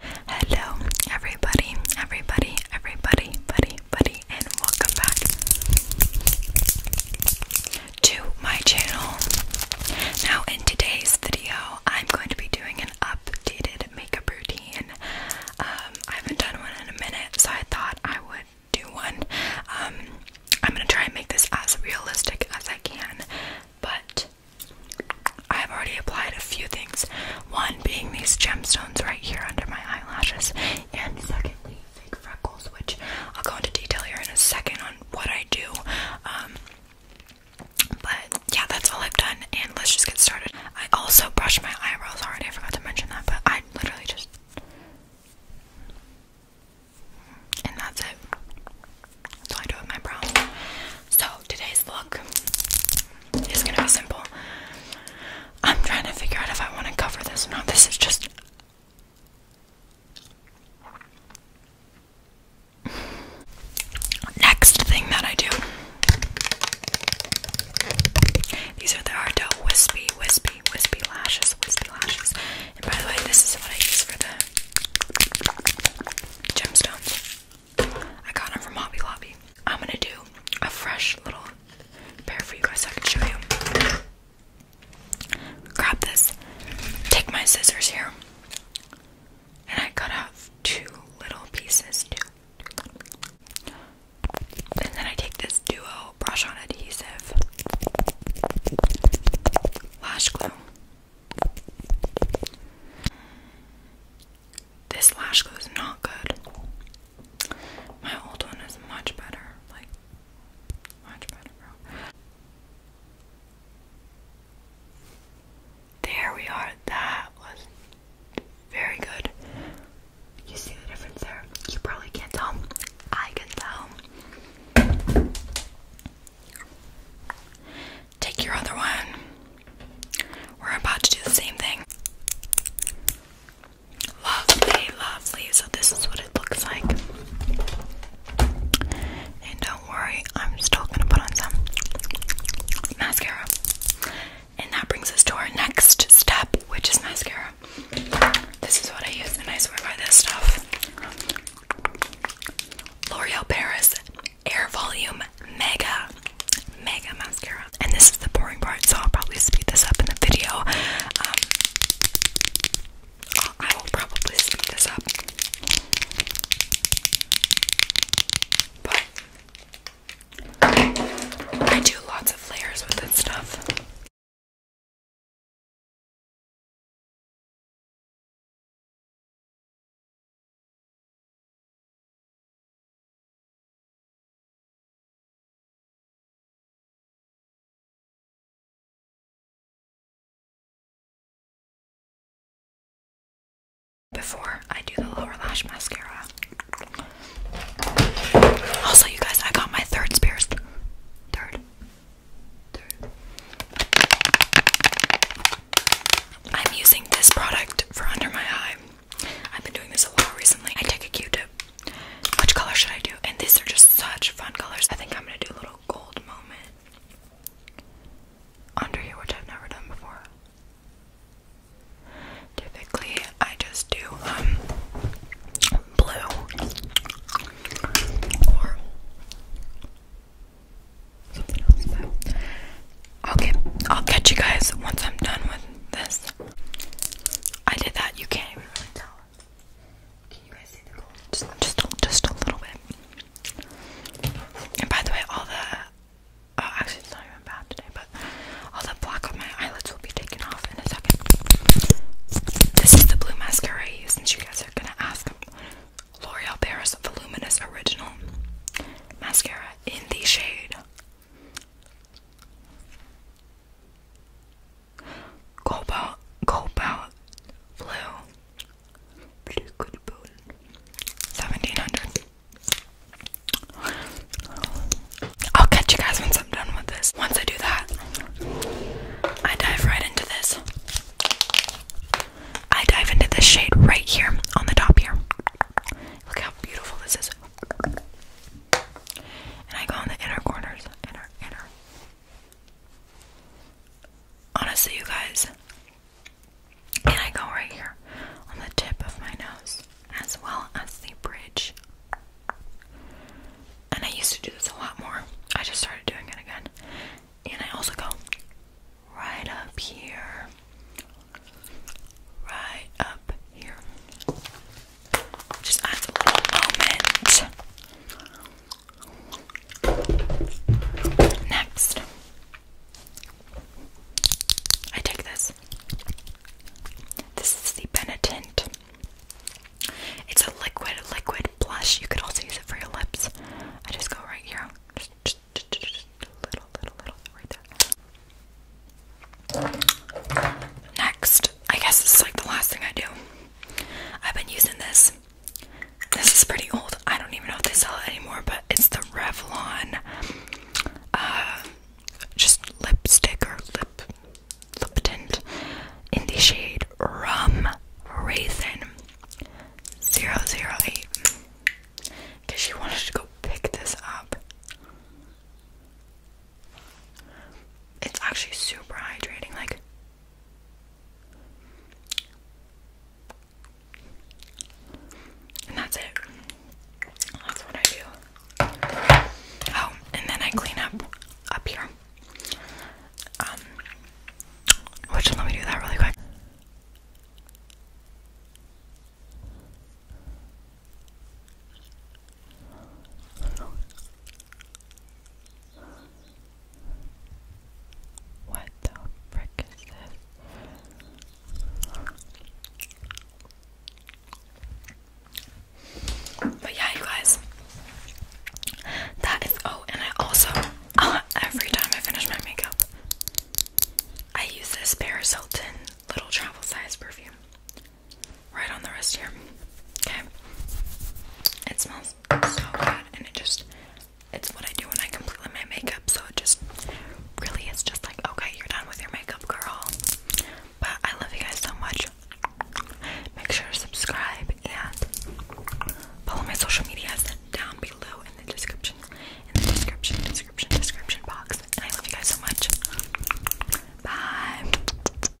Hello, everybody, everybody, everybody, buddy, buddy, and welcome back to my channel. Now, in today's video, I'm going to be doing an updated makeup routine. Um, I haven't done one in a minute, so I thought I would do one. Um, I'm gonna try and make this as realistic as I can, but I've already applied a few things. One being these gemstones right here under my eyelashes, and secondly, fake freckles, which I'll go into detail here in a second on what I do. Um, but yeah, that's all I've done, and let's just get started. I also brushed my eyebrows already, I forgot to mention that, but I literally just. And that's it. So I do with my brows. So today's look is gonna be simple. I'm trying to figure out if I want to cover this or not. This is just. Next thing that I do. These are the Ardell Wispy, Wispy, Wispy Lashes, Wispy Lashes. And by the way, this is what I use for the gemstones. I got them from Hobby Lobby. I'm gonna do a fresh little pair for you guys I can show you. Grab this, take my scissors here, and I cut off two little pieces, two. And then I take this duo brush on adhesive lash glue this lash glue is not good. My old one is much better. Like, much better, bro. There we are. That was very good. You see the difference there? You probably can't tell. I can tell. Take your other one. We're about to do the same thing. Lovely, lovely. So, this is what it looks like. And don't worry, I'm still gonna put on some mascara. And that brings us to our next step, which is mascara. This is what I use, and I swear by this stuff. L'Oreal Paris Air Volume Mega Mega Mascara. And this is the boring part, so I'll probably speed this up in the video. Um, I will probably speed this up. But I do lots of layers with this stuff. Before I do the lower lash mascara, also, you guys, I got my third Spears. Third. Third. I'm using this product for under my eye. I've been doing this a lot recently. I take a Q-tip. Which color should I do? And these are just such fun colors. I think I'm gonna do a little gold moment under here, which I've never done before. Typically, I just do um blue or something else. okay, I'll catch you guys once I'm done with this. I did that. You can Just, just, a little bit. And by the way, all the Oh, actually, it's not even bad today, but all the black on my eyelids will be taken off in a second. This is the blue mascara I use, since you guys are gonna ask. L'Oreal Paris Voluminous Original Mascara in the shade Cobalt, Cobalt Blue. 1700. I'll catch you guys once I'm done with this. Once I do that, I dive right into this. I dive into this shade right here on the top here. Look how beautiful this is. And I go on the inner corners. Inner, inner. Honestly, you guys, and I go right here on the tip of my nose as well as the bridge. And I used to do this a lot more. I just started doing it again. And I also go right up here. Right up here. Just adds a little moment. Next, I take this. This is the Benetint. It's a liquid, liquid blush. You could also use it for your lips. I just go right here. Just, a little, little, little, right there. Next, I guess this is like the last thing I do. I've been using this this is pretty old. I don't even know if they sell it anymore, but it's the Revlon uh just lipstick or lip lip tint in the shade Rum Raisin 008. Cause she wanted to go pick this up. It's actually super hydrating, like and that's it. That's what I do. Oh, and then I clean up up here. Um, which let me do that really quick. What the frick is this? But yeah, you guys, that is. Oh, and I also, uh, every time I finish my makeup, I use this Paris Hilton little travel size perfume right on the wrist here. Okay, it smells so bad and it just it's what I do when I complete my makeup so it just really is just like okay you're done with your makeup girl but I love you guys so much make sure to subscribe and follow my social medias down below in the description in the description description description box and I love you guys so much bye